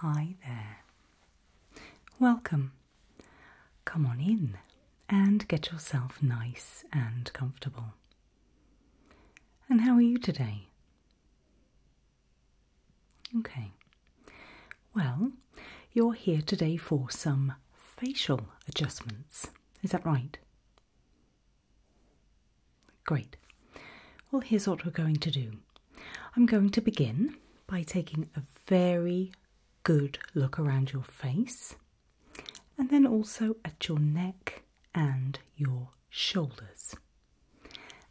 Hi there. Welcome. Come on in and get yourself nice and comfortable. And how are you today? Okay. Well, you're here today for some facial adjustments. Is that right? Great. Well, here's what we're going to do I'm going to begin by taking a very good look around your face and then also at your neck and your shoulders.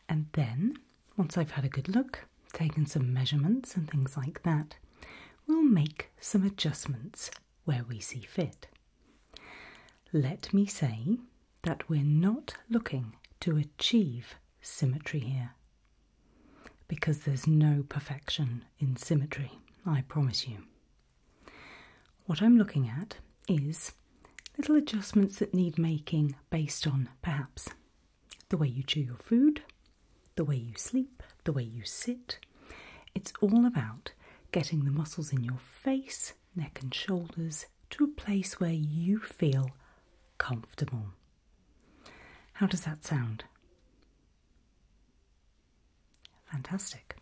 And then, once I've had a good look, taken some measurements and things like that, we'll make some adjustments where we see fit. Let me say that we're not looking to achieve symmetry here because there's no perfection in symmetry, I promise you. What I'm looking at is little adjustments that need making based on perhaps the way you chew your food, the way you sleep, the way you sit. It's all about getting the muscles in your face, neck, and shoulders to a place where you feel comfortable. How does that sound? Fantastic.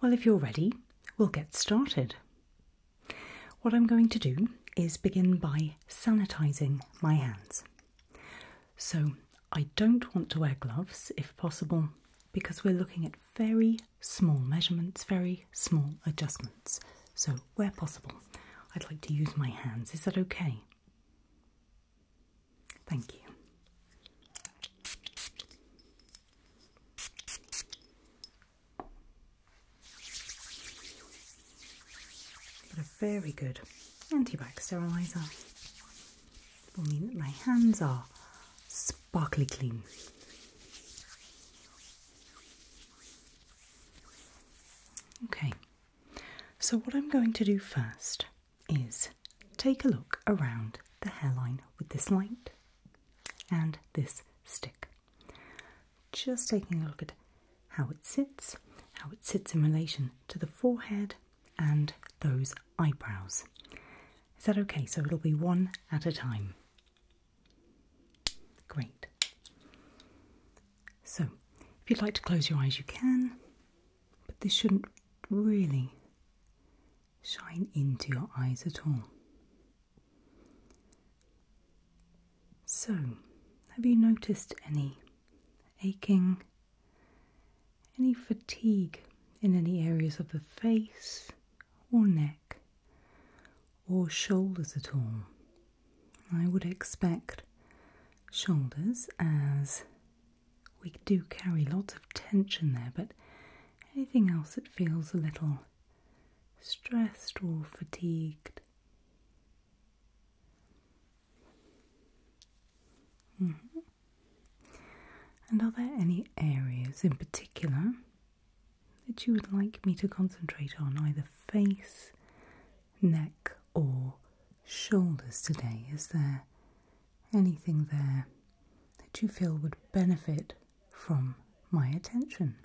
Well, if you're ready, we'll get started. What I'm going to do is begin by sanitizing my hands. So, I don't want to wear gloves if possible because we're looking at very small measurements, very small adjustments. So, where possible, I'd like to use my hands. Is that okay? Thank you. Got a very good antibacterial. sterilizer. Will mean that my hands are sparkly clean. Okay, so what I'm going to do first is take a look around the hairline with this light and this stick. Just taking a look at how it sits, how it sits in relation to the forehead and those eyebrows. Is that okay? So it'll be one at a time. Great. So, if you'd like to close your eyes, you can, but this shouldn't really shine into your eyes at all. So, have you noticed any aching, any fatigue in any areas of the face, or neck or shoulders at all. I would expect shoulders as we do carry lots of tension there, but anything else that feels a little stressed or fatigued. Mm-hmm. And are there any areas in particular that you would like me to concentrate on either face, neck, or shoulders today? Is there anything there that you feel would benefit from my attention?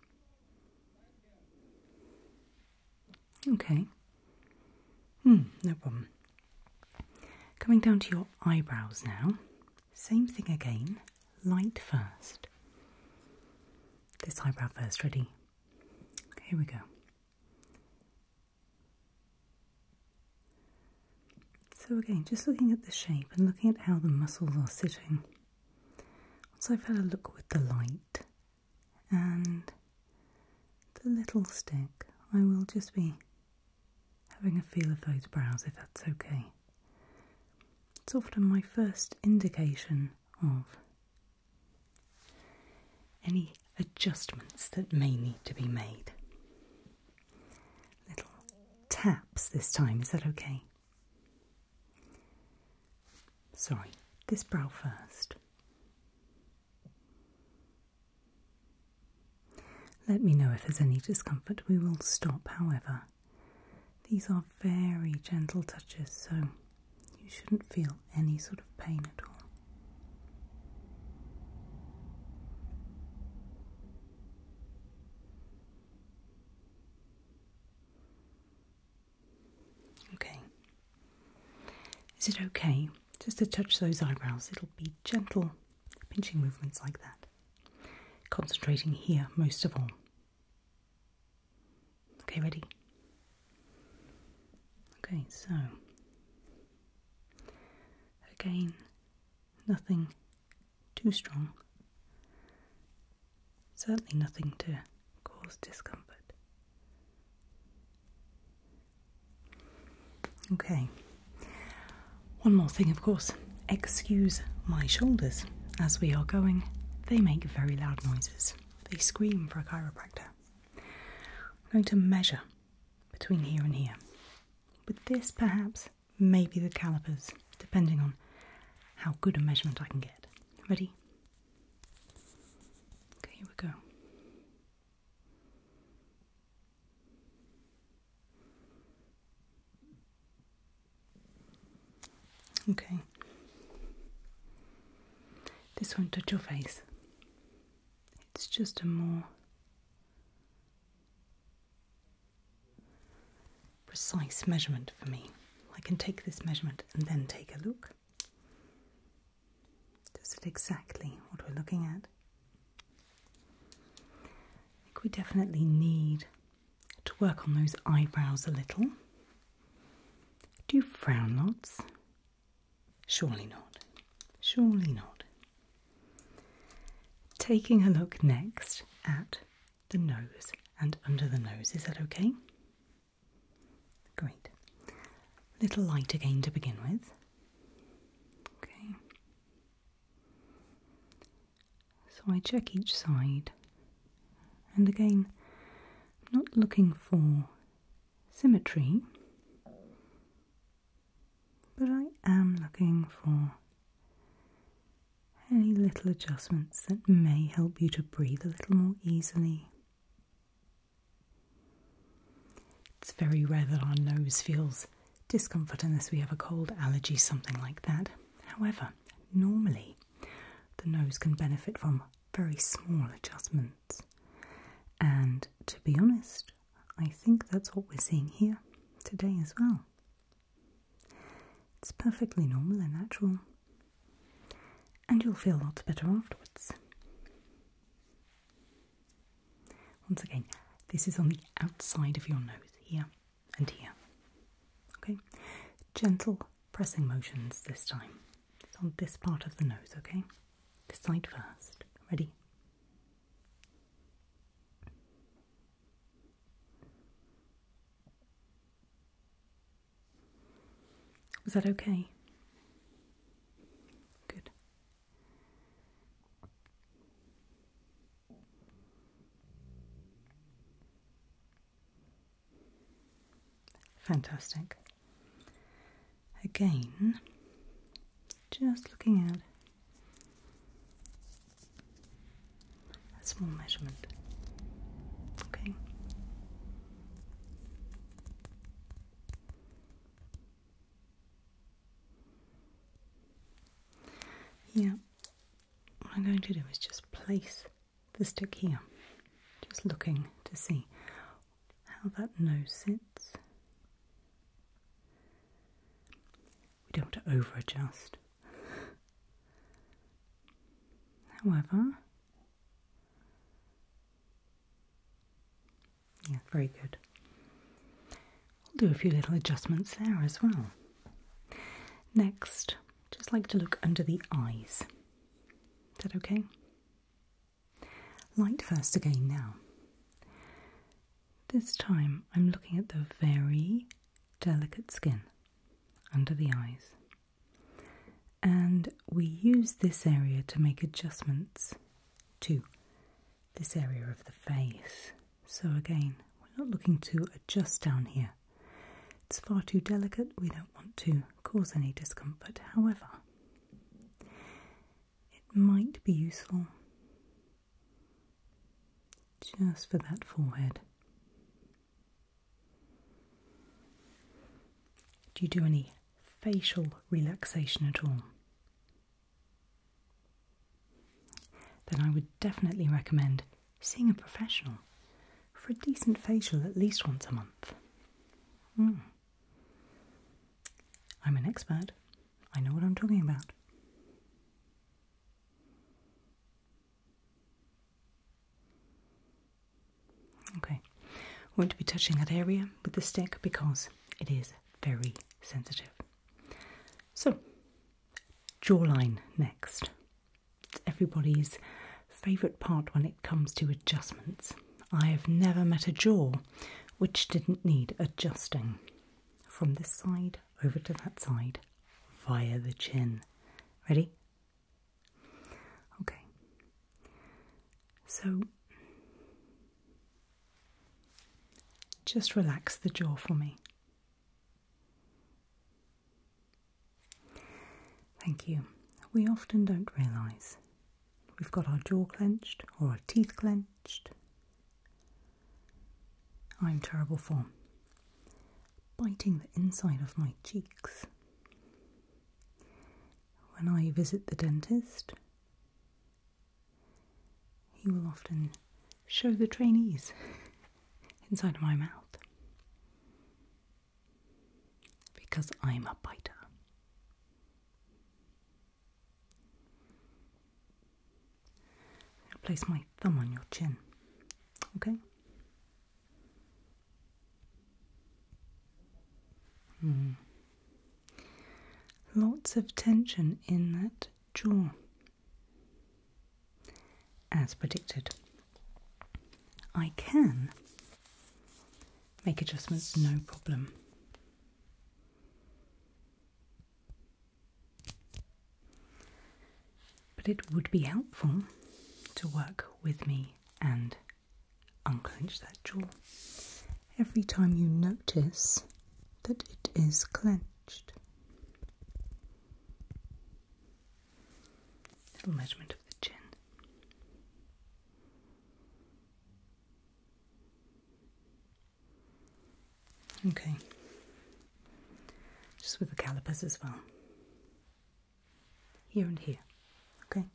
Okay. Hmm, no problem. Coming down to your eyebrows now. Same thing again light first. This eyebrow first, ready? Here we go. So, again, just looking at the shape and looking at how the muscles are sitting. Once I've had a look with the light and the little stick, I will just be having a feel of those brows if that's okay. It's often my first indication of any adjustments that may need to be made. Little taps this time, is that okay? Sorry, this brow first. Let me know if there's any discomfort. We will stop, however. These are very gentle touches, so you shouldn't feel any sort of pain at all. Okay. Is it okay just to touch those eyebrows? It'll be gentle pinching movements like that. Concentrating here most of all. Okay, ready? Okay, so again, nothing too strong, certainly nothing to cause discomfort. Okay, one more thing, of course, excuse my shoulders as we are going. They make very loud noises, they scream for a chiropractor. I'm going to measure between here and here. With this, perhaps, maybe the calipers, depending on how good a measurement I can get. Ready? Okay, here we go. Okay. This won't touch your face. It's just a more precise measurement for me. I can take this measurement and then take a look. Does it exactly what we're looking at. I think we definitely need to work on those eyebrows a little. Do you frown lots? Surely not. Surely not. Taking a look next at the nose and under the nose. Is that okay? Great. little light again to begin with. Okay. So I check each side, and again, I'm not looking for symmetry, but I am looking for any little adjustments that may help you to breathe a little more easily. It's very rare that our nose feels discomfort unless we have a cold, allergy, something like that. However, normally the nose can benefit from very small adjustments. And to be honest, I think that's what we're seeing here today as well. It's perfectly normal and natural, and you'll feel lots better afterwards. Once again, this is on the outside of your nose here and here. Okay, gentle pressing motions this time. on this part of the nose, okay? This side first. Ready? Was that okay? Good. Fantastic. Again, just looking at a small measurement. Okay. Yeah, what I'm going to do is just place the stick here, just looking to see how that nose sits. We don't have to over adjust. However, yeah, very good. I'll do a few little adjustments there as well. Next, just like to look under the eyes. Is that okay? Light first again now. This time I'm looking at the very delicate skin under the eyes. And we use this area to make adjustments too this area of the face. So again, we're not looking to adjust down here. It's far too delicate, we don't want to cause any discomfort. However, it might be useful just for that forehead. Do you do any facial relaxation at all? then I would definitely recommend seeing a professional for a decent facial at least once a month. Hmm. I'm an expert, I know what I'm talking about. Okay, won't be touching that area with the stick because it is very sensitive. So, Jawline next. everybody's favourite part when it comes to adjustments. I have never met a jaw which didn't need adjusting from this side over to that side via the chin. Ready? Okay. So just relax the jaw for me. Thank you. We often don't realise we've got our jaw clenched or our teeth clenched. I'm terrible for biting the inside of my cheeks. When I visit the dentist, he will often show the trainees inside of my mouth because I'm a biter. I'll place my thumb on your chin, okay? Hmm. Lots of tension in that jaw as predicted. I can make adjustments no problem. But it would be helpful to work with me and unclench that jaw every time you notice that it is clenched. Little measurement of the chin. Okay, just with the calipers as well, here and here. Okay,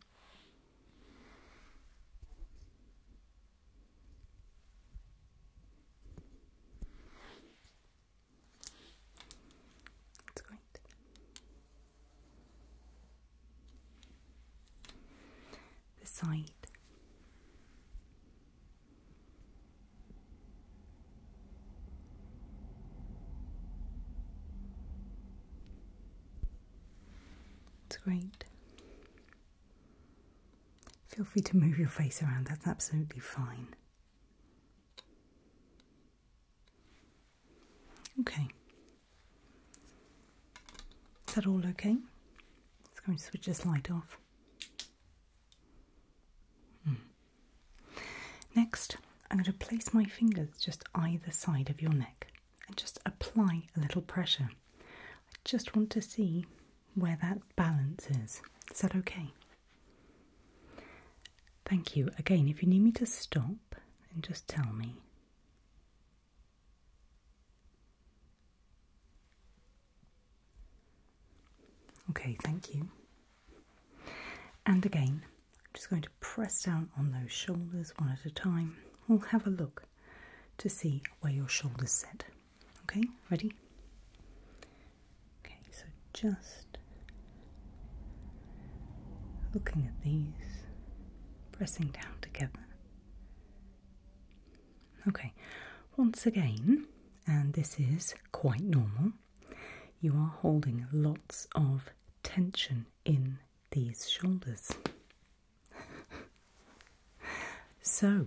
that's great. The side. It's great. Feel free to move your face around, that's absolutely fine. Okay. Is that all okay? Let's go and switch this light off. Hmm. Next, I'm going to place my fingers just either side of your neck and just apply a little pressure. I just want to see where that balance is. Is that okay? Thank you. Again, if you need me to stop, then just tell me. Okay, thank you. And again, I'm just going to press down on those shoulders one at a time. We'll have a look to see where your shoulders sit. Okay, ready? Okay, so just looking at these, pressing down together. Okay, once again, and this is quite normal, you are holding lots of tension in these shoulders. so,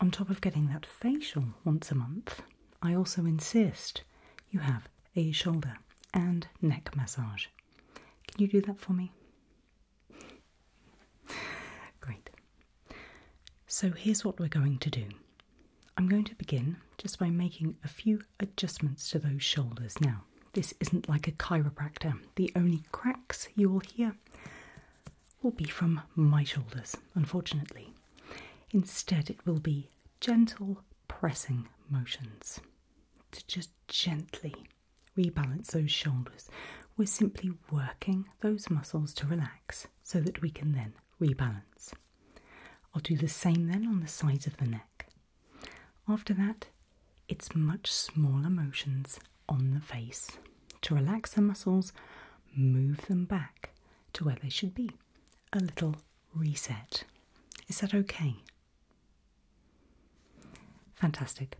on top of getting that facial once a month, I also insist you have a shoulder and neck massage. Can you do that for me? Great. So, here's what we're going to do. I'm going to begin just by making a few adjustments to those shoulders. Now, this isn't like a chiropractor. The only cracks you will hear will be from my shoulders, unfortunately. Instead, it will be gentle pressing motions to just gently rebalance those shoulders. We're simply working those muscles to relax so that we can then rebalance. I'll do the same then on the sides of the neck. After that, it's much smaller motions on the face to relax the muscles, move them back to where they should be. A little reset. Is that okay? Fantastic.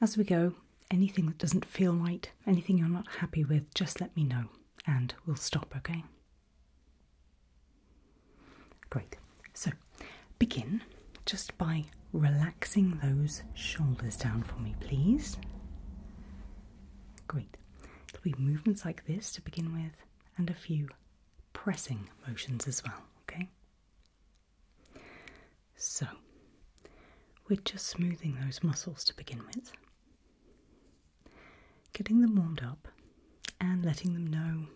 As we go, anything that doesn't feel right, anything you're not happy with, just let me know and we'll stop, okay? Great. So begin just by relaxing those shoulders down for me, please. Great. There'll be movements like this to begin with, and a few pressing motions as well, okay? So, we're just smoothing those muscles to begin with, getting them warmed up, and letting them know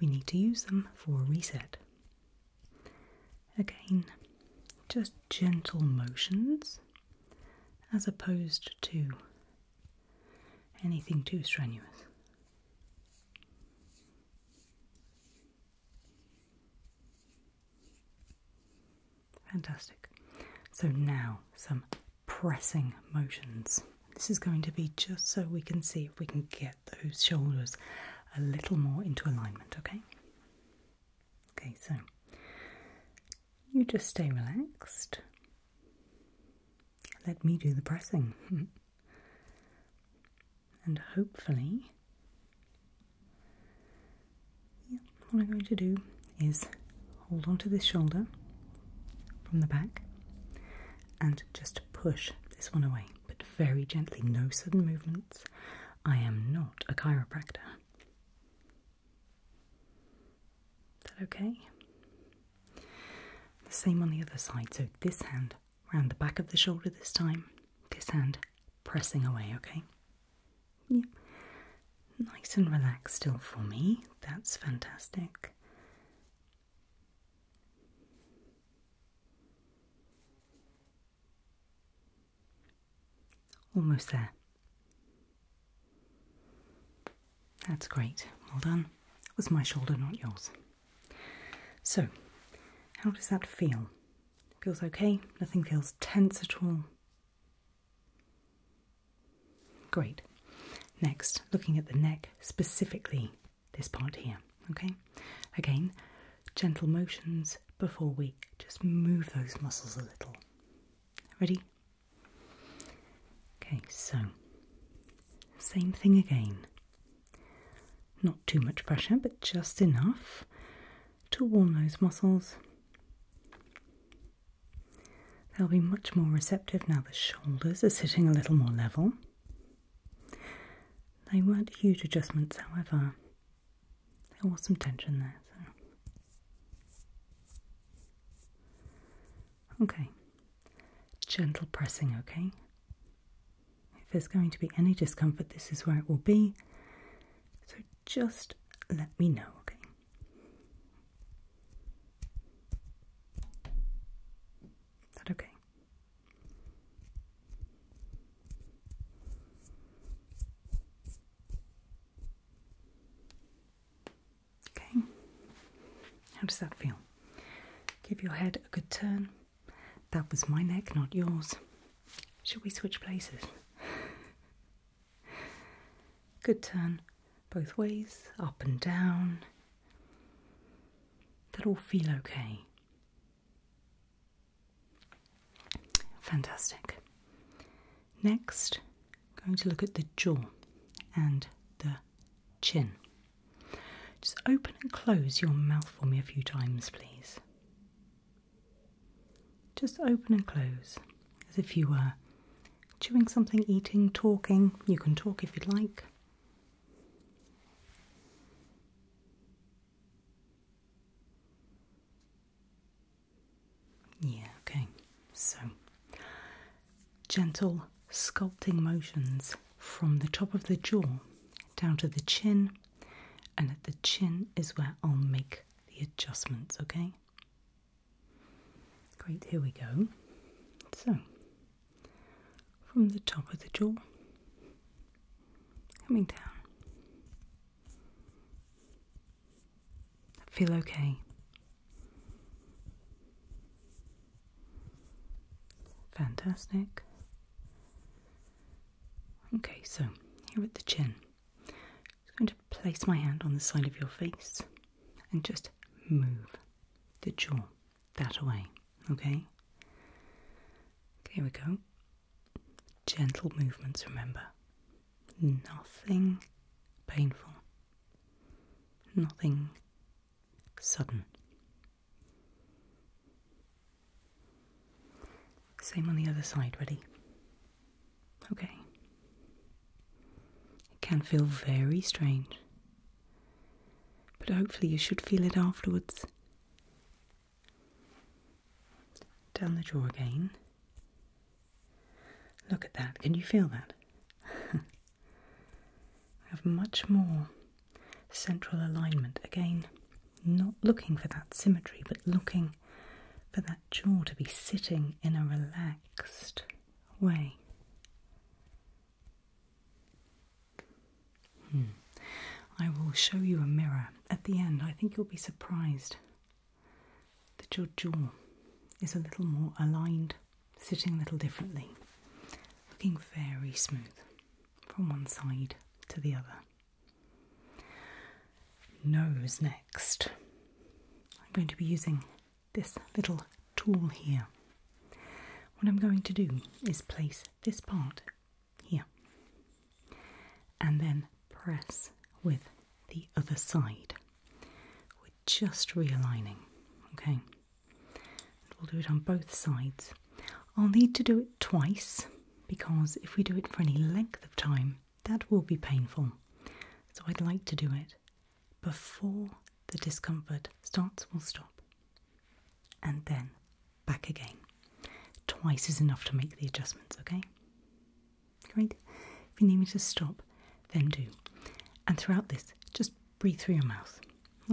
we need to use them for a reset. Again, just gentle motions as opposed to anything too strenuous. Fantastic. So now some pressing motions. This is going to be just so we can see if we can get those shoulders a little more into alignment, okay? Okay, so you just stay relaxed. Let me do the pressing. and hopefully, what I'm going to do is hold onto this shoulder from the back and just push this one away, but very gently, no sudden movements. I am not a chiropractor. Is that okay? The same on the other side. So this hand around the back of the shoulder this time, this hand pressing away, okay? Yep. Nice and relaxed still for me. That's fantastic. Almost there. That's great. Well done. It was my shoulder, not yours. So, how does that feel? Feels okay? Nothing feels tense at all? Great. Next, looking at the neck specifically, this part here, okay? Again, gentle motions before we just move those muscles a little. Ready? Okay, so same thing again. Not too much pressure, but just enough to warm those muscles. They'll be much more receptive now the shoulders are sitting a little more level. They weren't huge adjustments, however, there was some tension there. Okay, gentle pressing, okay? If there's going to be any discomfort, this is where it will be. So just let me know, okay? okay? Okay, how does that feel? Give your head a good turn. That was my neck, not yours. Should we switch places? Good turn both ways, up and down. That all feel okay. Fantastic. Next, going to look at the jaw and the chin. Just open and close your mouth for me a few times, please. Just open and close as if you were chewing something, eating, talking. You can talk if you'd like. Yeah, okay. So, gentle sculpting motions from the top of the jaw down to the chin, and at the chin is where I'll make the adjustments, okay? Great, here we go. So, from the top of the jaw, coming down. I Feel okay. Fantastic. Okay, so here at the chin, I'm going to place my hand on the side of your face and just move the jaw that away, okay? Here we go. Gentle movements, remember. Nothing painful, nothing sudden. Same on the other side, ready? Okay. It can feel very strange, but hopefully you should feel it afterwards down the jaw again. Look at that. Can you feel that? I have much more central alignment. Again, not looking for that symmetry, but looking for that jaw to be sitting in a relaxed way. Hmm. I will show you a mirror at the end. I think you'll be surprised that your jaw is a little more aligned, sitting a little differently, looking very smooth from one side to the other. Nose next. I'm going to be using this little tool here. What I'm going to do is place this part here, and then press with the other side. We're just realigning, okay? we'll do it on both sides. I'll need to do it twice because if we do it for any length of time, that will be painful. So I'd like to do it before the discomfort starts will stop and then back again. Twice is enough to make the adjustments, okay? Great. If you need me to stop, then do. And throughout this, just breathe through your mouth,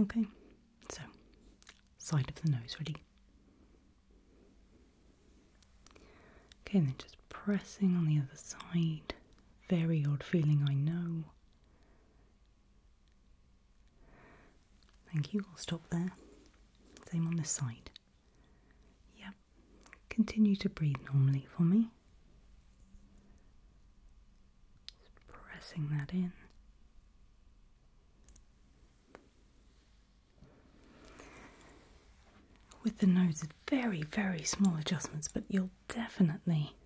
okay? So, side of the nose, ready? Okay, then just pressing on the other side. Very odd feeling, I know. Thank you, I'll stop there. Same on this side. Yep, continue to breathe normally for me. Just pressing that in. With the nose, very, very small adjustments, but you'll definitely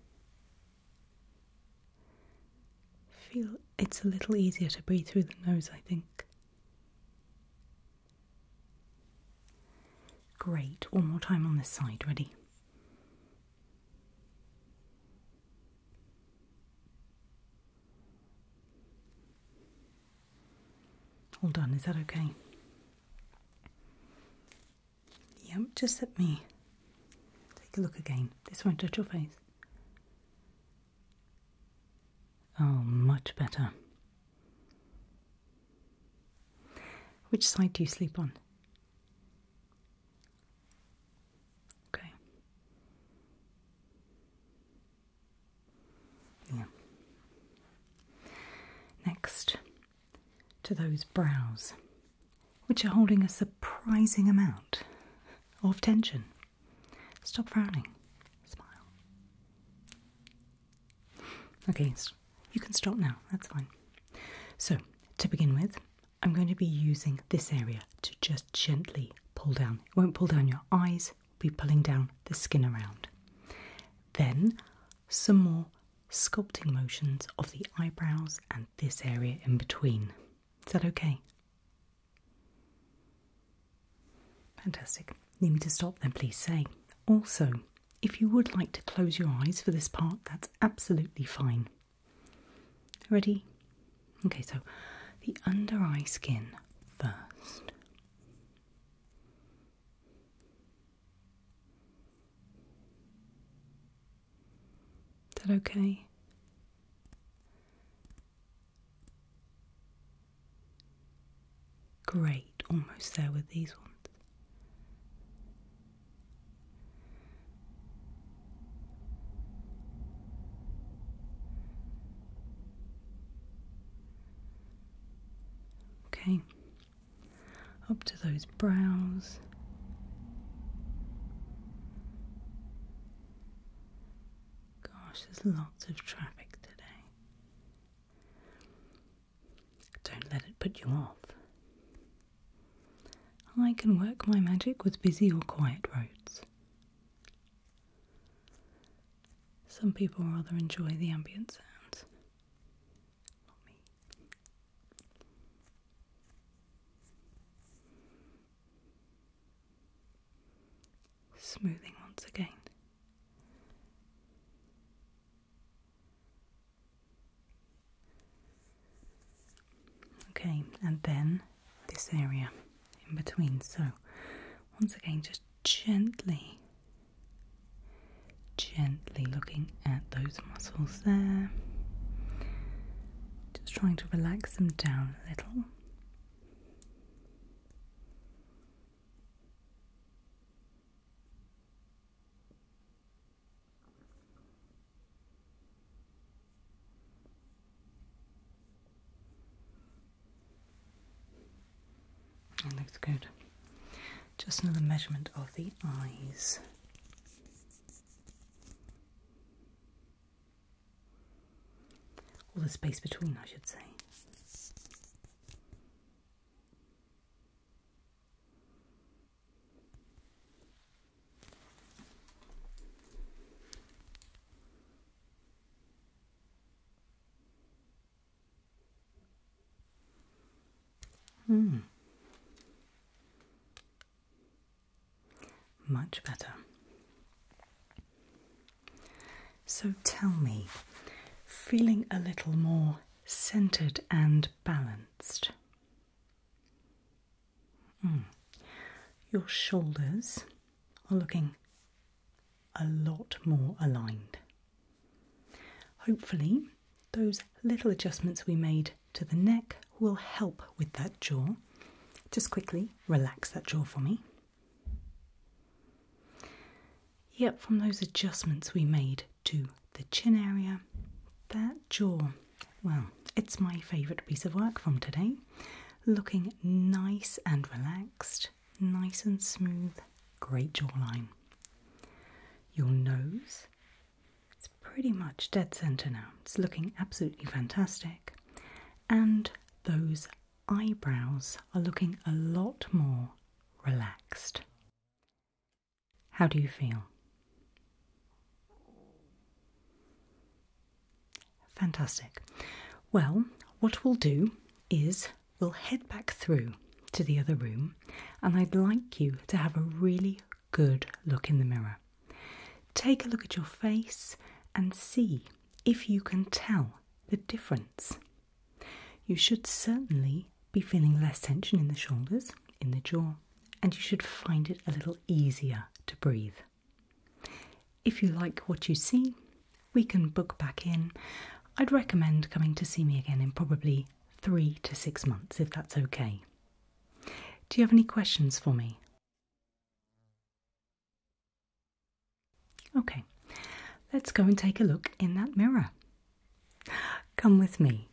Feel it's a little easier to breathe through the nose, I think. Great, one more time on this side, ready? All done, is that okay? Yep, just let me take a look again. This won't touch your face. Oh, much better. Which side do you sleep on? Okay. Yeah. Next to those brows which are holding a surprising amount of tension. Stop frowning. Smile. Okay, you can stop now. That's fine. So, to begin with, I'm going to be using this area to just gently pull down. It won't pull down your eyes, be pulling down the skin around. Then, some more sculpting motions of the eyebrows and this area in between. Is that okay? Fantastic. Need me to stop then, please say. Also, if you would like to close your eyes for this part, that's absolutely fine. Ready? Okay, so the under eye skin first. Is that okay? Great, almost there with these ones. Okay, up to those brows. Gosh, there's lots of traffic today. Don't let it put you off. I can work my magic with busy or quiet roads. Some people rather enjoy the ambient sounds. Not me. Smoothing once again. Okay, and then this area in between. So, once again, just gently, gently looking at those muscles there just trying to relax them down a little. That looks good. Just another measurement of the eyes. Or the space between, I should say. Hmm. Much better. So tell me, feeling a little more centered and balanced. Hmm. Your shoulders are looking a lot more aligned. Hopefully, those little adjustments we made to the neck will help with that jaw. Just quickly relax that jaw for me. Yep, from those adjustments we made to the chin area, that jaw, well, it's my favourite piece of work from today. Looking nice and relaxed, nice and smooth, great jawline. Your nose it's pretty much dead center now. It's looking absolutely fantastic. And those eyebrows are looking a lot more relaxed. How do you feel? Fantastic. Well, what we'll do is we'll head back through to the other room and I'd like you to have a really good look in the mirror. Take a look at your face and see if you can tell the difference. You should certainly be feeling less tension in the shoulders, in the jaw, and you should find it a little easier to breathe. If you like what you see, we can book back in. I'd recommend coming to see me again in probably three to six months if that's okay. Do you have any questions for me? Okay, let's go and take a look in that mirror. Come with me.